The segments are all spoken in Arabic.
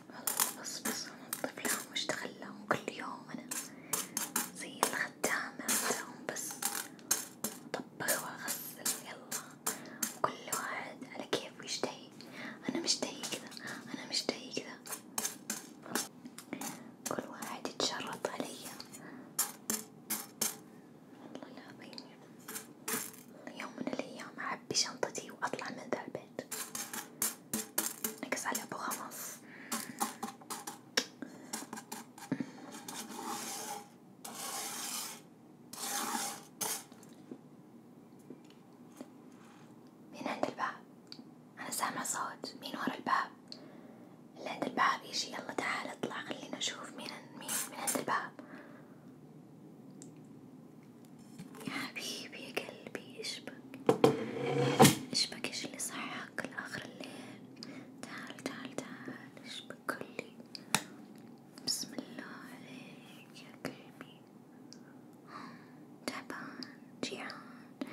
والله بص بص أنا الطفلة مشتغلة وكل يوم أنا زي الخدامة متاعهم بس أطبخ وأغسل يلا وكل واحد على كيفه يشتهي أنا مشتهي كذا أنا مشتهي كذا كل واحد يتشرط عليا والله العظيم يوم من الأيام أعبي شنطتي وأطلع من ذا البيت نقص عليها بغمص مين عند الباب؟ أنا سامع صوت، مين ورا الباب؟ اللي عند الباب يجي يلا تعال اطلع خلينا نشوف مين مين من عند الباب يا حبيبي يا قلبي اشبك اشبك ايش اللي صحك لآخر الليل تعال تعال تعال اشبك كلي بسم الله عليك يا قلبي تعبان جيعان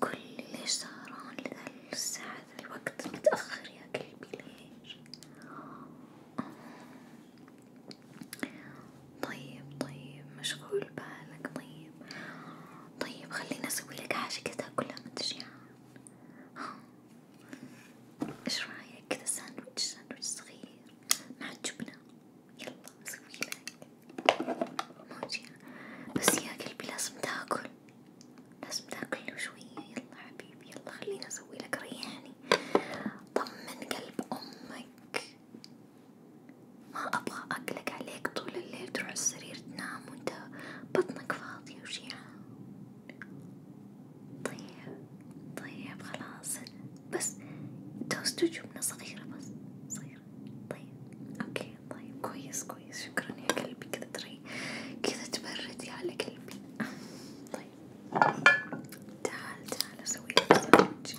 كلي ليش سهران لذا الساعة ذا الوقت متأخر يا قلبي ليش طيب طيب مشغول بالك طيب طيب خليني اسوي لك حاجة كذا كلها انت جيعان ايش رايك كذا ساندويتش ساندويتش صغير مع جبنة يلا اسوي لك مو جيعان بس يا قلبي لازم تاكل لازم تاكل شوية يلا حبيبي يلا خليني اسوي لك ريحني طمن قلب امك ما أبغى أقلق عليك طول الليل تروح السرير تنام وأنت بطنك فاضية وشيعان طيب طيب خلاص بس توست وجبنة صغيرة بس صغيرة طيب أوكي طيب كويس كويس شكرا يا قلبي كذا تري كذا تبردي على قلبي طيب تعال تعال أسوي لك ساندوتش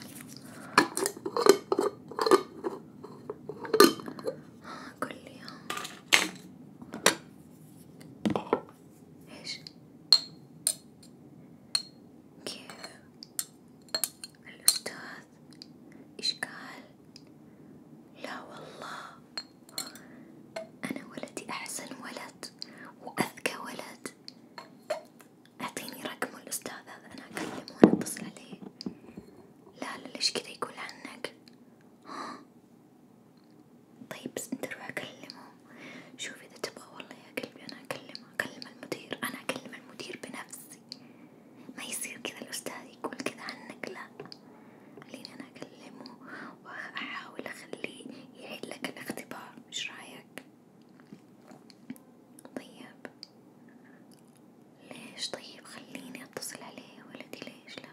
كل يوم ايش كيف الأستاذ ايش قال لا والله أنا ولدي أحسن ولد وأذكى ولد أعطيني رقم الأستاذ هذا أنا أكلمه ونتصل عليه، لا لا ليش كذا يقول عنك؟ ها؟ طيب بس أنت روح أكلمه، شوف إذا تبغى والله يا قلبي أنا أكلمه، أكلم المدير، أنا أكلم المدير بنفسي، ما يصير كذا الأستاذ يقول كذا عنك لا، خليني أنا أكلمه وأحاول أخليه يعيد لك الاختبار، إيش رأيك؟ طيب ليش طيب خليني اتصل عليه يا ولدي ليش لا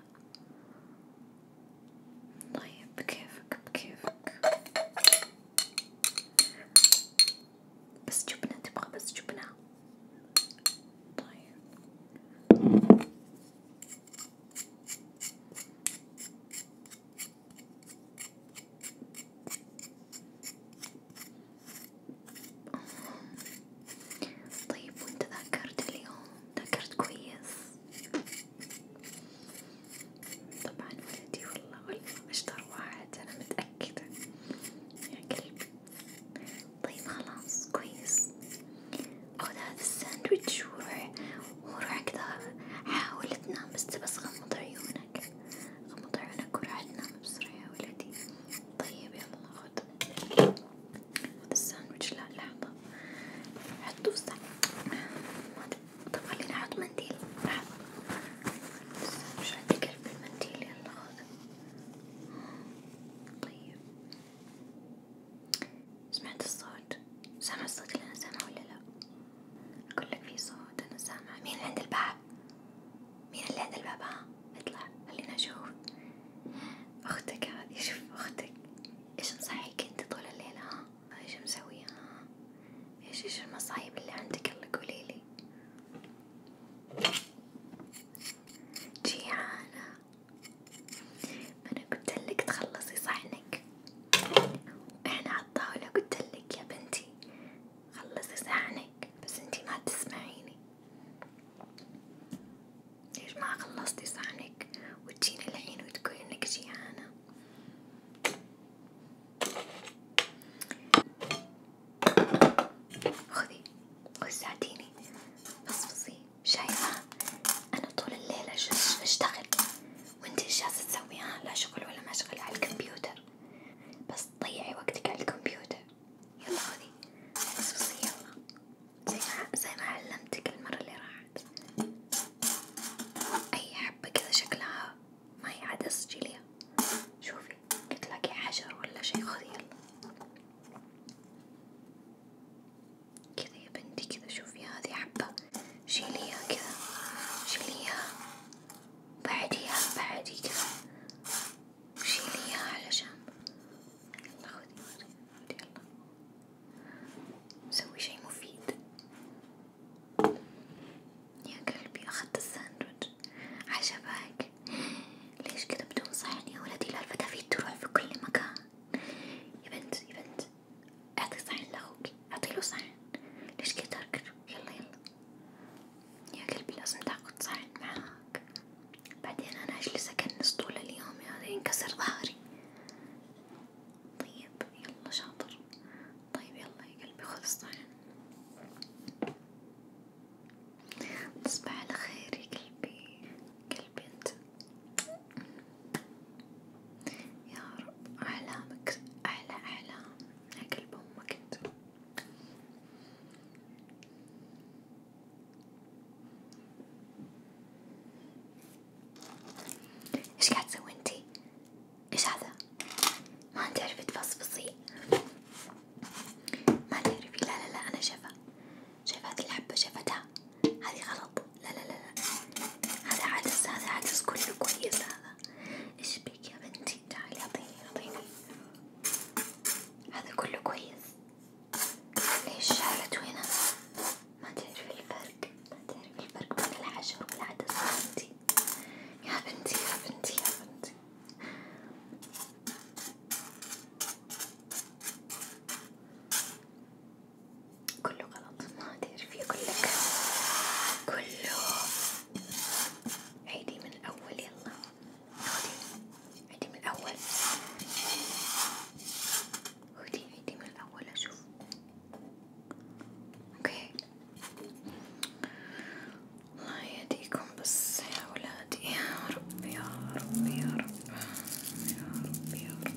طيب بكيفك بكيفك بس جبنة تبغى بس جبنة طيب طيب وانت ذاكرت اليوم ذاكرت كويس طبعا ولدي والله والله اشطر واحد انا متأكدة يا قلبي طيب خلاص كويس خذ هذا الساندويتش وروح وروح كذا حاول تنام بس بس غمض عيونك غمض عيونك وراح تنام بسرعة يا ولدي، طيب يلا خد خد الساندوتش لا لحظة حطه في طب خليني أحط منديل لحظة الساندوتش عندي قلب المنديل يلا خذ طيب سمعت الصوت؟ سامع الصوت اللي أنا سامعه ولا لأ؟ أقولك في صوت أنا سامعة مين عند الباب؟ مين اللي عند الباب ها؟ آه، اطلع خلينا نشوف أختك هذه شوف أختك إيش مصحيك أنت طول الليل ها؟ آه، إيش مسوية آه، ها؟ إيش إيش المصايب اللي عندك يلا قوليلي جيعانة أنا قلتلك تخلصي صحنك وإحنا عالطاولة قلتلك يا بنتي خلصي صحنك بس انتي ما تسمعيني ليش ما خلصتي صحنك وتجيني الحين وتقولي انك جيعانة خذي وساعديني فصفصي شايفة انا طول الليل اشتغل وانتي ايش جالسة تسوي ها لا شغل ولا مشغل على الكمبيوتر بس تضيعي وقتك على الكمبيوتر يلا خذي بصبصي يلا زي ما زي ما علمتك المرة اللي راحت أي حبة كذا شكلها ما هي عاد اسجليها شوفي تلاقي حجر ولا شي خذي يلا كذا يا بنتي كذا شوفي هذه حبة شيليها كذا شيليها بعديها بعديها شيلي اياها على جنب يلا خذي مريم يلا سوي شي مفيد يا قلبي اخذت الساندوتش عجبك ليش كذا بدون صحن يا ولدي الفتافيت تروح في كل مكان يا بنت يا بنت اعطي صحن لاخوك اعطي له صحن ليش كذا يلا يلا يا قلبي لازم تاخد صحن معاك، بعدين أنا أجلس أكنس طول اليوم يا يعني ينكسر ظهري، طيب يلا شاطر، طيب يلا يا قلبي خذ الصحن، تصبح على خير يا قلبي، قلبي أنت، يا رب أحلامك أحلى أحلام. يا كلب أمك إيش قاعد تسوي أنتي؟ إيش هذا؟ ما تعرفي تفصفصي؟ ما تعرفي لا لا لا أنا شايفة شايفة الحبة شافتها هذي غلط لا لا لا لا هذا عدس هذا عدس كله كويس هذا هذا ايش بك يا بنتي تعالي اعطيني اعطيني هذا كله كويس ليش شالته هنا ما تعرف الفرق ما تعرف الفرق بين الحجر والعدس يا بنتي يا بنتي يا بنتي يا بنتي كله غلط ما تعرفي كله كله عيدي من الأول يلا خدي عيدي من الأول خدي عيدي من الأول أشوف أوكي الله يهديكم بس يا ولادي يا رب يا رب يا رب يا رب يا رب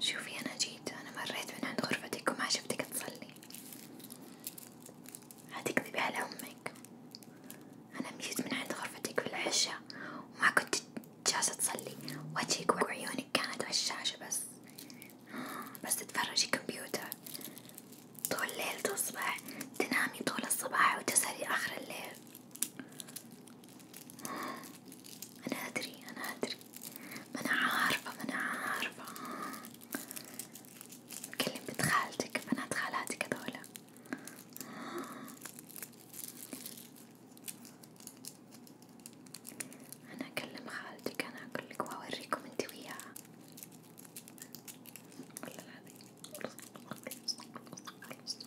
شوفي أنا جيت أنا مريت من عند غرفتك وما شفتك تصلي هتكذبي على أمك أنا مشيت من عند غرفتك في العشاء وما كنت جالسة تصلي وجهك وعيونك كانت على الشاشة بس بس تتفرجي كمبيوتر طول الليل تصبح تنامي طول الصباح وتسهري آخر الليل أنا أدري أنا أدري ما أنا عارفة ما أنا عارفة كلم بنت خالتك بنات خالاتك هذولا أنا أكلم خالتك أنا أقولك وأوريكم أنت وياها والله العظيم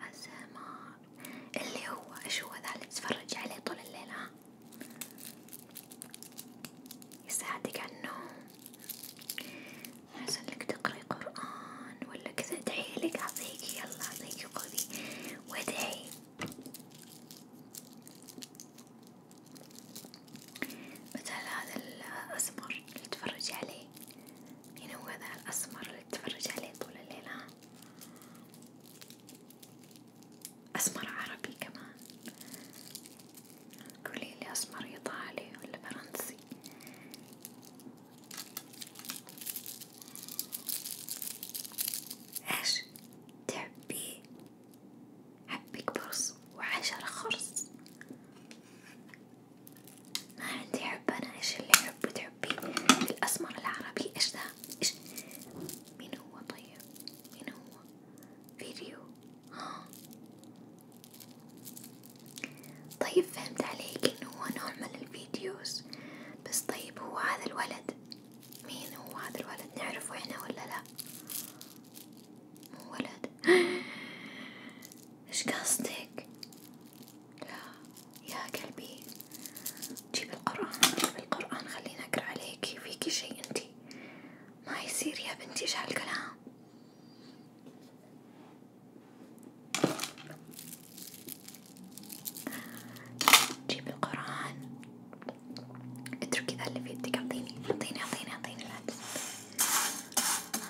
أسمار اللي هو إيش هو ذا اللي تتفرجي عليه طول الليل ها يساعدك على النوم لك تقري قرآن ولا كذا ادعي لك أعطيك يلا أعطيك خذي وادعي مثل هذا الأسمر اللي تفرجي عليه يعني هو ذا الأسمر اللي تتفرج عليه طول الليل ها أسمر عربي كمان قولي لي أسمر إيطالي ولا فرنسي إيش تحبي حبك برص وحشرة خرص ما عندي حب أنا إيش اللي حبه تحبيه الأسمر العربي إيش ده إيش مين هو طيب مين هو فيديو ها طيب فهمت عليك إنه هو نوع من الفيديوز بس طيب هو هذا الولد مين هو هذا الولد نعرفه إحنا ولا لأ مو ولد إيش قصدك لا يا قلبي جيب القرآن جيب القرآن خليني أقرأ عليكي فيكي شي انتي ما يصير يا بنتي ايش هالكلام جيب القرآن اتركي ذا اللي في يدك اعطيني اعطيني اعطيني اعطيني العدس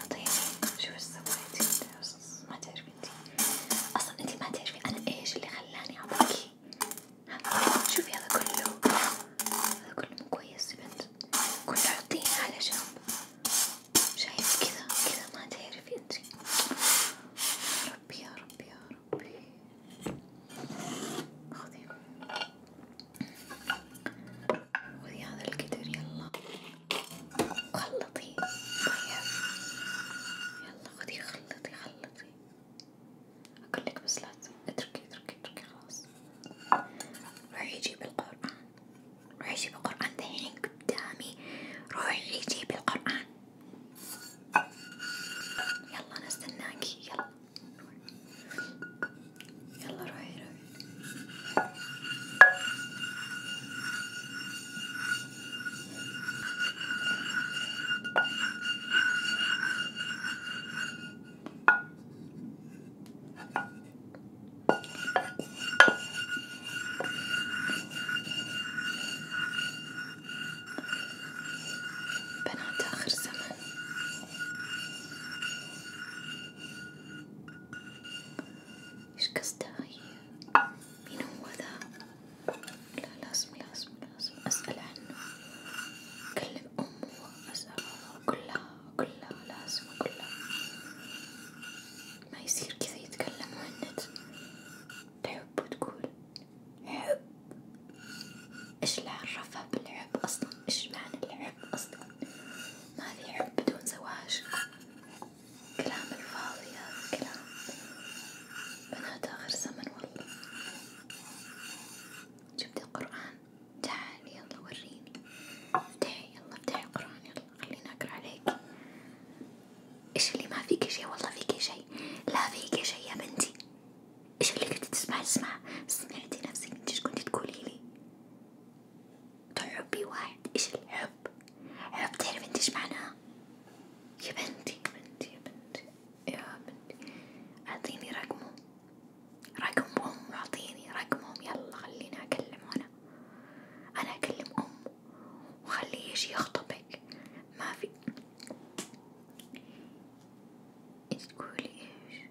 اعطيني شو سويتي ما تعرفي انتي اصلا انتي ما تعرفي انا ايش اللي خلاني ابكي شوفي هذا كله هذا كله مو كويس بنت كله حطيه على جنب شايف كذا كذا ما تعرفي انتي يا ربي يا ربي يا ربي خذي خذي هذا القدر يلا خلطي طيب يلا خدي خلطي خلطي أقول لك بس لا اتركي اتركي اتركي خلاص روحي جيبي القرآن روحي جيبي القرآن دحين قدامي روحي جيبي القرآن يلا أنا استناكي يلا يلا روحي روحي بنات آخر زمن إيش قصدها هي؟ مين هو ذا؟ لا لازم لازم لازم أسأل عنه، أكلم أمه أسألها أقولها أقولها لازم أقولها، ما يصير كذا يتكلم مهند، تحب وتقول حب، إيش اللي عرفها بالحب أصلا؟ إيش معنى الحب أصلا؟ ما في حب بدون زواج كلام الفاضي هذا كلام بنات آخر زمن والله جبت القرآن تعال يلا وريني افتحي يلا افتحي القرآن يلا خليني أقرأ عليك إيش اللي ما فيك شي والله فيك شي لا فيك شي يا بنتي إيش اللي كنت تسمعي تسمع سمعتي نفسك إيش كنت تقولي لي تحبي واحد ايش الحب حب تعرف انت ايش معناه يا بنتي يا بنتي يا بنتي يا بنتي اعطيني رقمه رقمهم اعطيني رقمهم يلا خليني اكلمه انا انا اكلم امه وخليه يجي يخطبك ما في انت تقولي ايش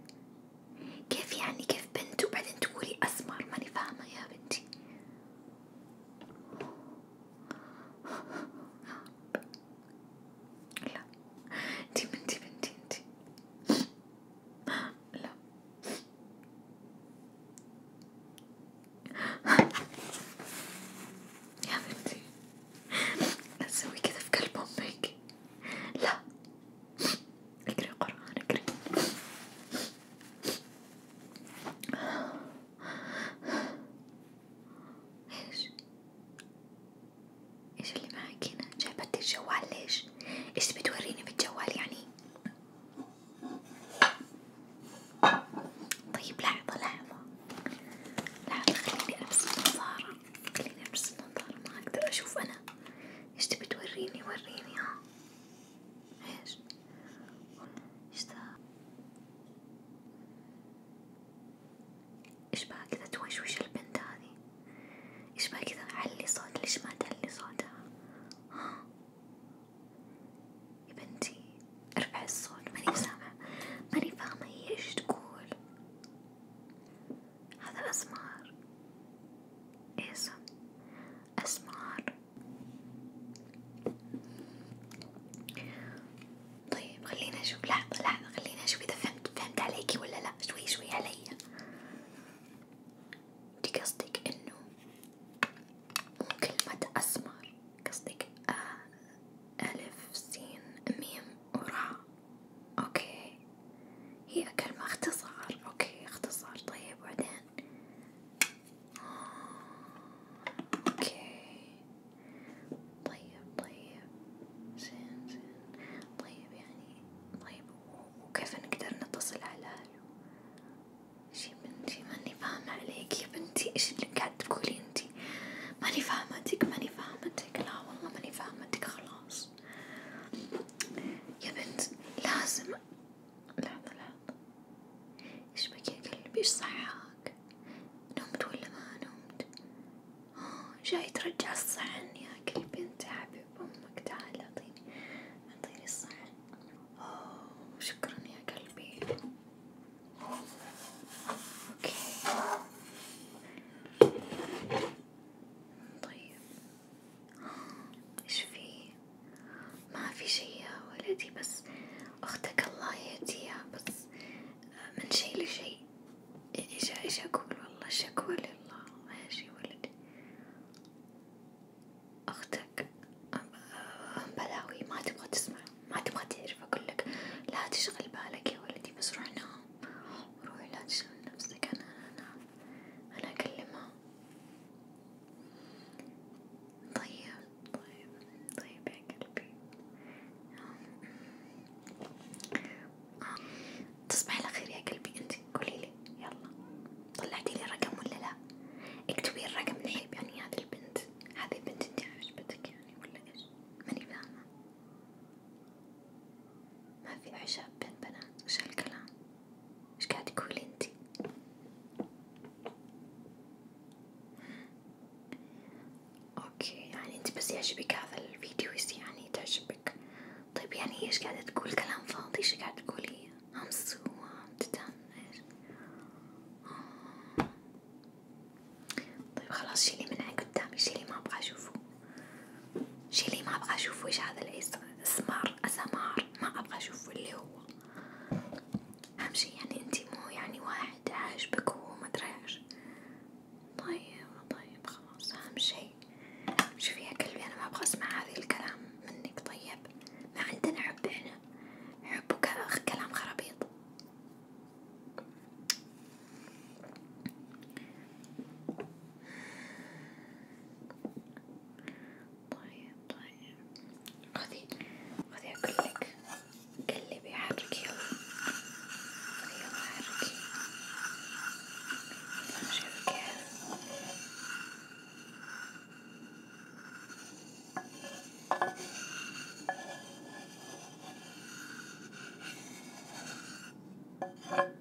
كيف يعني كيف بنت وبعدين تقولي أسمر ماني فاهمة يا بنتي لا انتي بنتي بنتي انتي لا يا بنتي اسوي كذا في قلب امك لا اقري قرآن اقري ايش؟ ايش اللي معك هنا؟ جايبتي الجوال ليش؟ ايش تبي توريني بالجوال يعني؟ طيب لحظة لحظة لحظة خليني ألبس النظارة خليني ألبس النظارة ما أقدر أشوف أنا إيش تبي توريني وريني ها Vês? Está. ايش بقى كذا توشوش البنت هذي ايش بقى كذا علي صوت ليش ما تعلي صوتها ها يا بنتي ارفعي الصوت ماني سامعة ماني فاهمة هي ايش تقول هذا أسمار إيه صح أسمار طيب خلينا أشوف لحظة لحظة خلينا أشوف إذا فهمت فهمت عليكي ولا لأ شوي شوي عليا أنت قصدك إنه مو كلمة أسمر قصدك ألف سين ميم وراء أوكي هي كلمة اختصار اوكي اختصار طيب وبعدين اوكي طيب طيب زين زين طيب يعني طيب وكيف نقدر نتصل على اهله شي بنتي ماني فاهمة عليك يا بنتي ايش اللي قاعد تقولي انتي ماني فاهمتك ماني فاهمتك لا والله ماني فاهمتك خلاص يا بنت لازم لحظة لحظة ايش بك يا قلبي ايش صحاك نمت ولا ما نمت اه جاي ترجع الصحن يا قلبي انت حبيب امك تعال اعطيني اعطيني الصحن اوه شكرا يا قلبي اوكي طيب إيش فيه؟ ما في شي يا ولدي بس أختك الله يهديها بس من شي لشي إيش إيش أقول والله شكوى لله يا شي ولدي أختك أم بلاوي ما تبغى تسمع ما تبغى تعرف أقولك لا تشغل بالك يا ولدي بس روح نام روح لا تشغل نفسك أنا أنا أنا أكلمها طيب طيب طيب يا قلبي تصبح على خير يا قلبي انت قوليلي يلا طلعتيلي رقم ولا لا اكتبي الرقم من حيب يعني هذه البنت هذه البنت انت عجبتك يعني ولا ايش ماني فاهمة ما في عشاب بين بنات وش هالكلام ايش قاعد تقولي انتي اوكي يعني انت بس يعجبك هذا الفيديو يعني تعجبك طيب يعني ايش قاعدة تقول كلام فاضي ايش قاعدة تقولي همس وامتدان ايش طيب خلاص شيلي من عين قدامي شيلي ما ابغى اشوفه شي لي ما ابغى اشوف واش هذا الاسمار اسمار ما ابغى اشوفه اللي هو اهم شي يعني انتي مو يعني واحد عاجبك وهو ما ادري طيب طيب خلاص اهم شي شوفي يا قلبي انا ما ابغى اسمع هذه الكلام منك طيب ما عندنا حب احنا حب كلام خرابيط طيب طيب خذي خذي أقولك قلبي حركي يلا يلا حركي شوفي كيف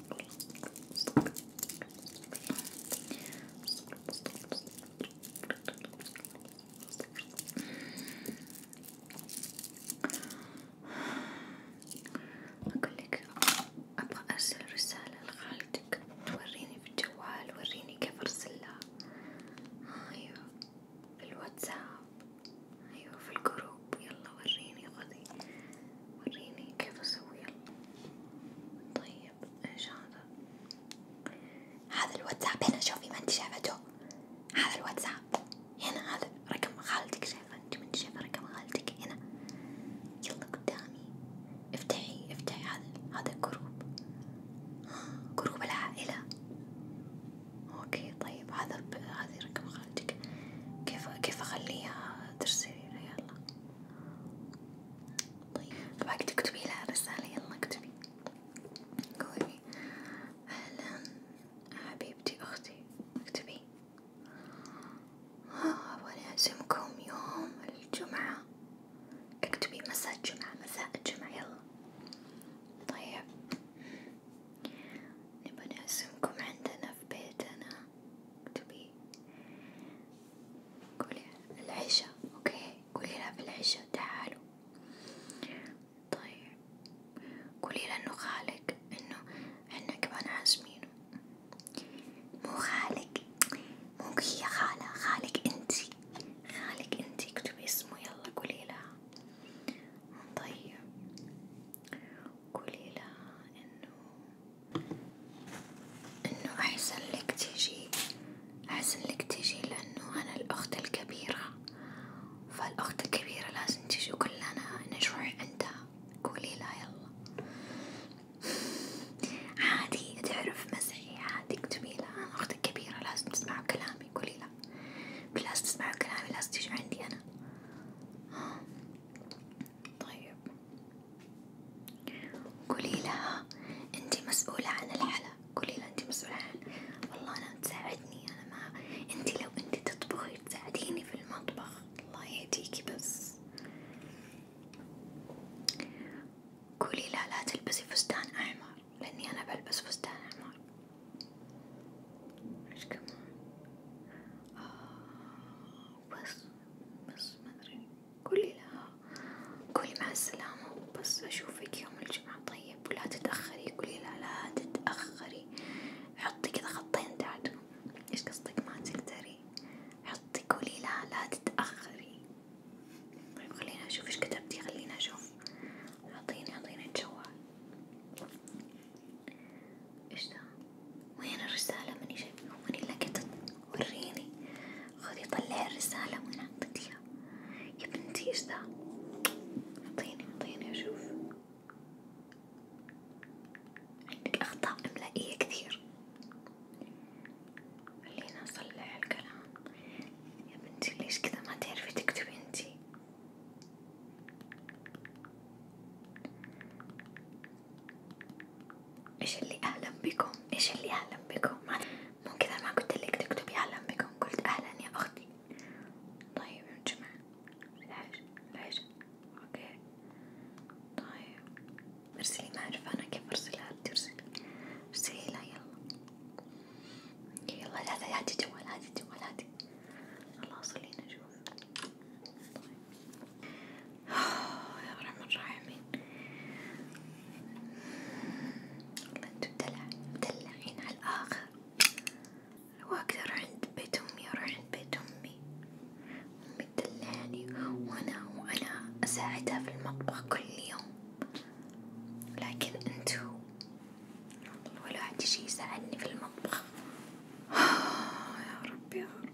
أقول لك أبغى أرسل رسالة لخالتك توريني في الجوال وريني كيف أرسلها أيوه في الواتساب أيوه في الجروب يلا وريني خذي وريني كيف أسوي يلا طيب طيب إن شاء الله هذا الواتساب هنا شوفي ما انت شافته هذا الواتساب هنا هذا رقم خالتك شايفة انت ما انت شايفة رقم خالتك هنا يلا قدامي افتحي افتحي هذا هذا جروب جروب العائلة اوكي طيب هذا هذه رقم خالتك كيف كيف اخليها ترسلي يلا طيب فباك طيب. تكتبي لها رسالة يلا اكتبي قولي أهلا حبيبتي أختي اكتبي أبغى آه، أعزمكم يوم الجمعة اكتبي مساء الجمعة مساء الجمعة يلا طيب نبغى نعزمكم عندنا في بيتنا اكتبي قولي العشاء اوكي قولي لها في العشاء تعالوا طيب قولي له انه خالك انه احنا كمان عازمينه مو خالك مو هي خالة خالك انتي خالك انتي اكتبي اسمه يلا قولي لها طيب قولي لها انه انه احسن لك تجي احسن لك تجي لانه انا الاخت الكبيرة فالاخت الكبيرة لازم تجي وكلنا نجوع عندها قولي لها يلا عادي تعرف مزحي عادي اكتبي لها انا اختك كبيرة لازم تسمعوا كلامي قولي لها لازم تسمعوا كلامي لازم تجي عندي انا طيب قولي لها انتي مسؤولة عن الحلا، قولي لها انتي مسؤولة عن والله انا تساعدني انا ما انتي لو انتي تطبخي تساعديني في المطبخ الله يهديكي بس قولي لها لا تلبسي فستان احمر لاني انا بلبس فستان احمر ايش كمان آه بس بس ما أدري قولي لها قولي مع السلامة بس أشوفك يوم الجمعة طيب ولا تتأخري قولي لها لا تتأخري حطي كذا خطين تحت إيش قصدك ما تقدري حطي قولي لها لا تتأخري طيب خلينا أشوف إيش كتبتي خلينا أشوف أعطيني أعطيني الجوال إيش ده؟ وين الرسالة؟ ماني شايفة، ماني لقيتها، وريني، خذي طلعي الرسالة وين حطيتيها؟ يا بنتي إيش ده؟ أعطيني أعطيني أشوف، عندك أخطاء إملائية كثير، خلينا نصلح الكلام، يا بنتي ليش كذا ما تعرفي تكتبي أنتي؟ ايش اللي اهلا بكم ايش اللي اهلا بكم مو كذا ما قلت لك تكتبي اهلا بكم قلت اهلا يا اختي طيب يا جماعة العشاء العشاء اوكي طيب ارسلي ما اعرف انا كيف ارسلها ترسلي ارسلي لها يلا يلا هاتي هاتي جوال هاتي جوال هاتي خلاص خلينا نشوف يا رحمن الرحيم والله انتو مدلعين على الآخر واقدر عند بيت أمي أروح عند بيت أمي أمي تدلعني وأنا وأنا أساعدها في المطبخ كل يوم لكن انتو ولا حد يجي يساعدني في المطبخ يا رب يا رب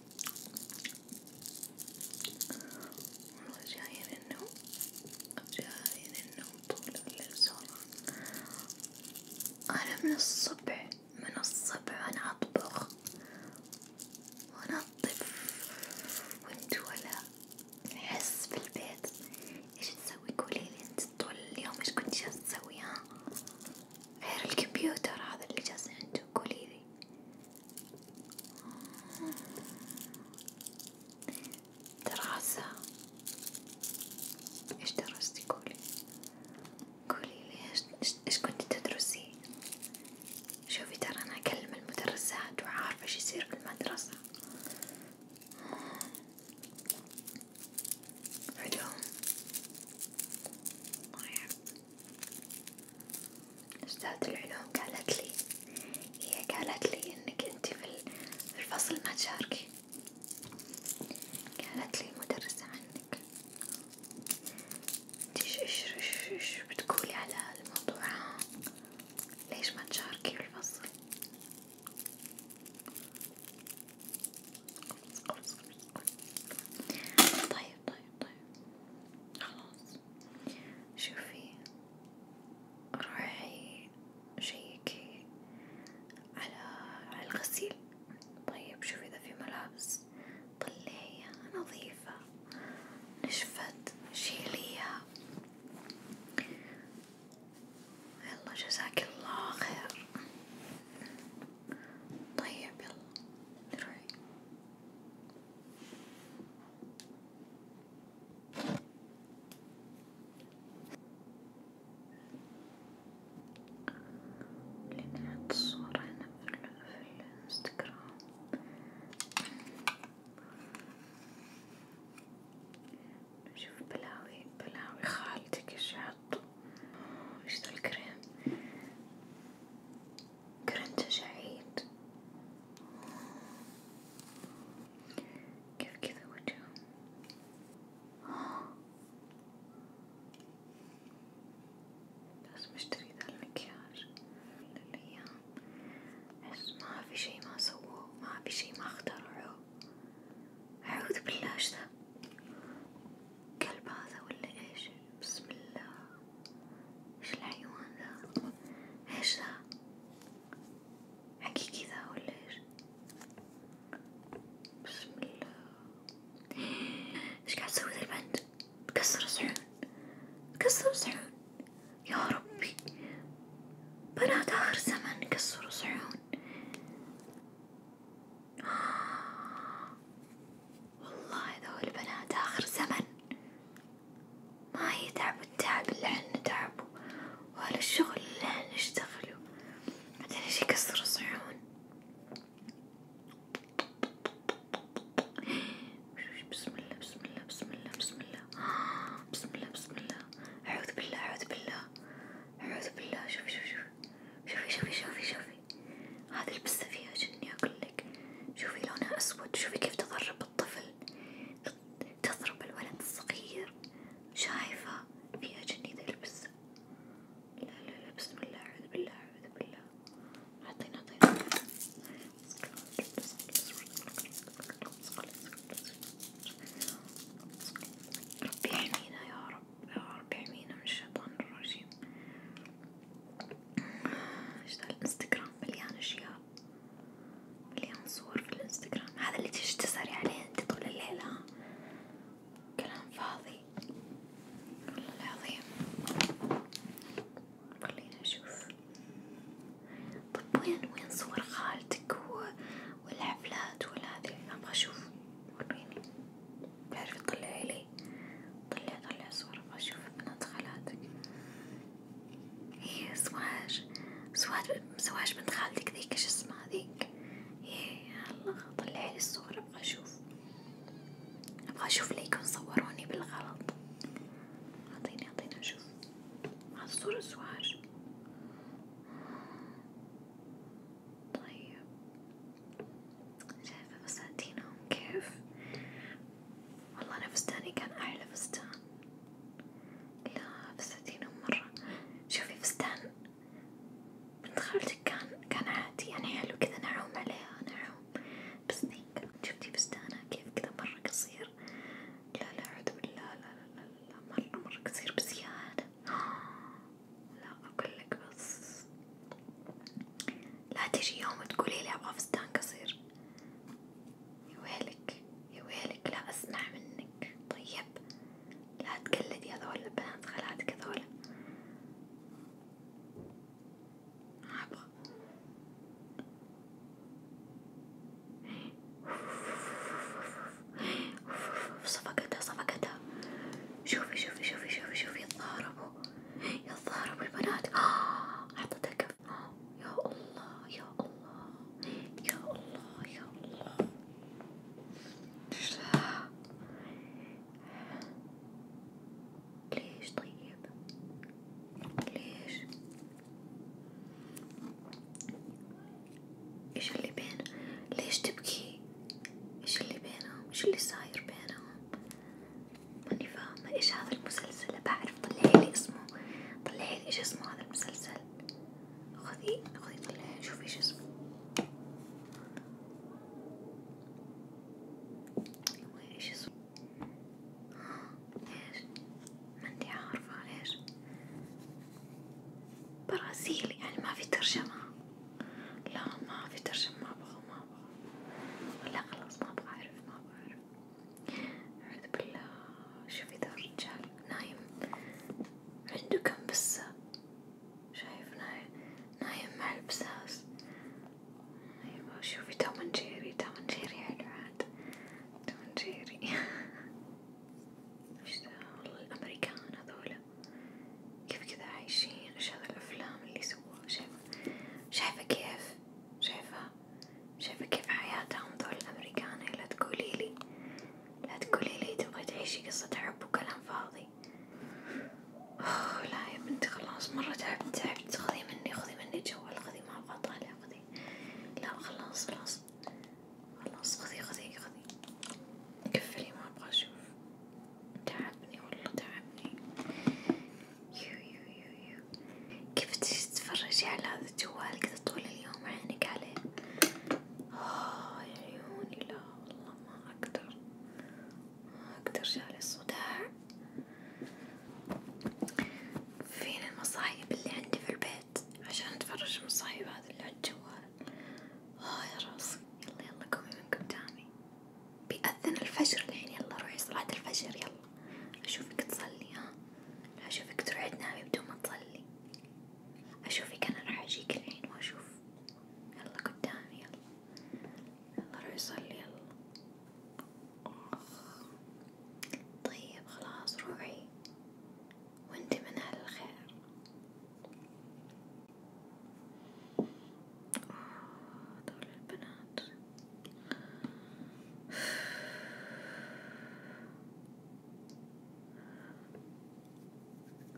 والله جاية للنوم جاية للنوم طول الليل سهران أنا من الصبح من الصبح أنا أطبخ وأنظف وأنتوا ولا أحس بالبيت إيش تسوي قوليلي أنت طول اليوم إيش كنت جالسة تسوي ها غير الكمبيوتر هذا اللي جالسين أنتوا قوليلي دراسة إيش درستي قولي قولي لي إيش كنتي تدرسي شوفي ترى أنا أكلم المدرسات وعارفة إيش يصير في المدرسة علوم طيب أستاذ العلوم قالت لي هي قالت لي إنك أنتي في الفصل ما تشاركي، قالت لي المدرسة عنك، أنتي إيش إيش إيش بتقولي على الموضوع ها؟ ليش ما تشاركي في الفصل؟ طيب طيب طيب خلاص شوفي روحي شيكي على على الغسيل طيب شوفي إذا في ملابس طلعيها نظيفة نشفت شيليها يلا جزاك الله خير طيب يلا روحي لنحط الصورة هنا في الانستغرام نشوف بلاوي بلاوي خالتك ايش حط ايش ذا الكريم كرنج عيد كيف كذا وجهه بس مشتري ذا المكياج الأيام أحس ما في شي ما سووه ما في شي ما اخترعوه أعوذ بالله إيش ذا كلب هذا ولا إيش بسم الله ايش الحيوان ذا ايش ذا حكي كذا ولا ايش بسم الله ايش قاعد تسوي ذا البنت تكسر صحون تكسر صحون يا ربي بنات اخر زمن كسروا صحون والله هذول البنات آخر زمن ما يتعبوا التعب اللي عنا تعبوا اللي عنا بعدين ايش يكسروا صيون بسم الله بسم الله بسم الله بسم الله بسم الله بسم الله أعوذ بالله أعوذ بالله أعوذ بالله شوفي شوفي شوفي شوفي شوفي شوفي هذا البسه فيها جني أقولك شوفي لونها أسود شوفي كيف تضرب الطفل تضرب الولد الصغير شايفة فيها جني ذا البسة لا لا لا بسم الله أعوذ بالله أعوذ بالله أعطينا أعطينا ربي يحمينا يا رب يا رب يحمينا من الشيطان الرجيم ايش الانستغرام مليان اشياء مليان صور في الانستغرام هذا اللي تيجي تسهري عليه انت طول الليل ها كلام فاضي والله العظيم خليني اشوف طب وين وين صور خالتك والحفلات ولا هذي ابغى اشوف وريني تعرفي تطلعي لي لي طلع طلع صورة بشوف بنات خالاتك هي إيه، سواج سواج سواج بنت خالتك ذيك ايش اسمها ذيك ايه الله طلعي لي الصورة ابغى اشوف ابغى اشوف ليكون صوروني بالغلط اعطيني اعطيني اشوف الصورة سواج طيب شايفة فساتينهم كيف والله أنا فستاني كان أحلى فستان لا فساتينهم مرة شوفي فستان بنت خالتك كان كان عادي يعني حلو كذا نعوم عليها نعوم بس ذيك شفتي فستانها كيف كذا مرة قصير لا لا أعوذ بالله لا لا لا, لا مرة مرة قصير بزيادة لا أقولك بس لا تجي يوم تقولي لي أبغى فستان قصير يا ويلك يا ويلك لا أسمع منك طيب لا تقلدي هذول البنات خالاتك هذول ما أبغى صفقتها صفقتها شوفي شوفي شوفي شوفي شوفي يتضاربوا يا الظهر والبنات أعطتها كف يا الله يا الله يا الله يا الله ليش طيب ليش ايش اللي بين ليش تبكي ايش اللي بينهم ايش اللي صاير بينهم ماني فاهمة ايش هذا المسلسل بعرف طلعيلي اسمه طلعيلي ايش اسمه هذا المسلسل خذي خذي طلعي شوفي ايش اسمه ايش اسمه ايش ماني عارفة ايش برازيلي يعني ما في ترجمة لا ما في ترجمة ما بغى ما لا خلاص ما بعرف ما بعرف أعوذ بالله شوفي ذا الرجال نايم عنده كم بسة شايف نايم نايم مع البساس أيوة شوفي توم جيري توم جيري حلو عاد توم جيري وش ذا والله الأمريكان هذولا كيف كذا عايشين إيش هذا الأفلام اللي سووها شايف شايفة كيف شايفة شايفة كيف حياتهم ذول الأمريكان لا تقوليلي لا تقوليلي تبغي تعيشي قصة حب وكلام فاضي أوه لا يا بنتي خلاص مرة تعبت تعبت خذي مني خذي مني جوال خذي ما أبغى أطالع خذي لا خلاص خلاص خلاص خذي خذي خذي كفلي ما أبغى أشوف تعبني والله تعبني يو يو يو يو كيف تجي تتفرجي على هذا الجوال كذا طول اليوم عينك عليه آه يا عيوني لا والله ما أقدر ما أقدر جالي صداع فين المصايب اللي عندي في البيت عشان أتفرج المصايب هذا اللي على الجوال آه يا راسي يلا يلا قومي من قدامي بيأذن الفجر الحين يعني يلا روحي صلاة الفجر يلا أشوفك تصلي ها أشوفك تروحي تنامي بدون ما تصلي أشوفك أنا راح أجيك الحين وأشوف يلا قدامي يلا يلا روحي صلي يلا طيب خلاص روحي وانت من أهل الخير دول البنات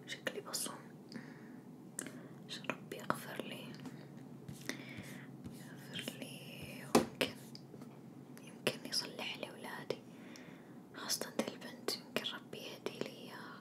شكلي بصم عشان ربي يغفر لي يغفر لي ويمكن يمكن يصلح لي ولادي خاصة البنت يمكن ربي يهدي لي إياها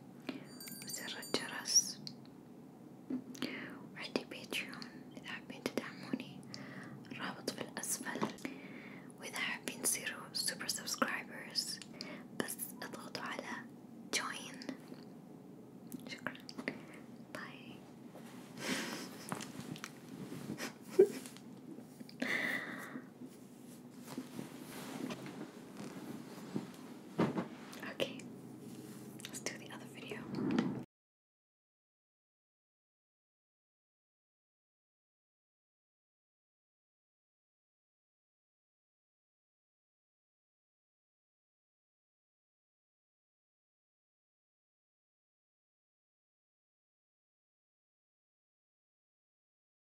وزر الجرس وعندي بيتريون إذا حابين تدعموني الرابط في الأسفل وإذا حابين تصيروا سوبر سبسكرايبرز بس اضغطوا على جوين شكرا باي Okay, let's do the other video.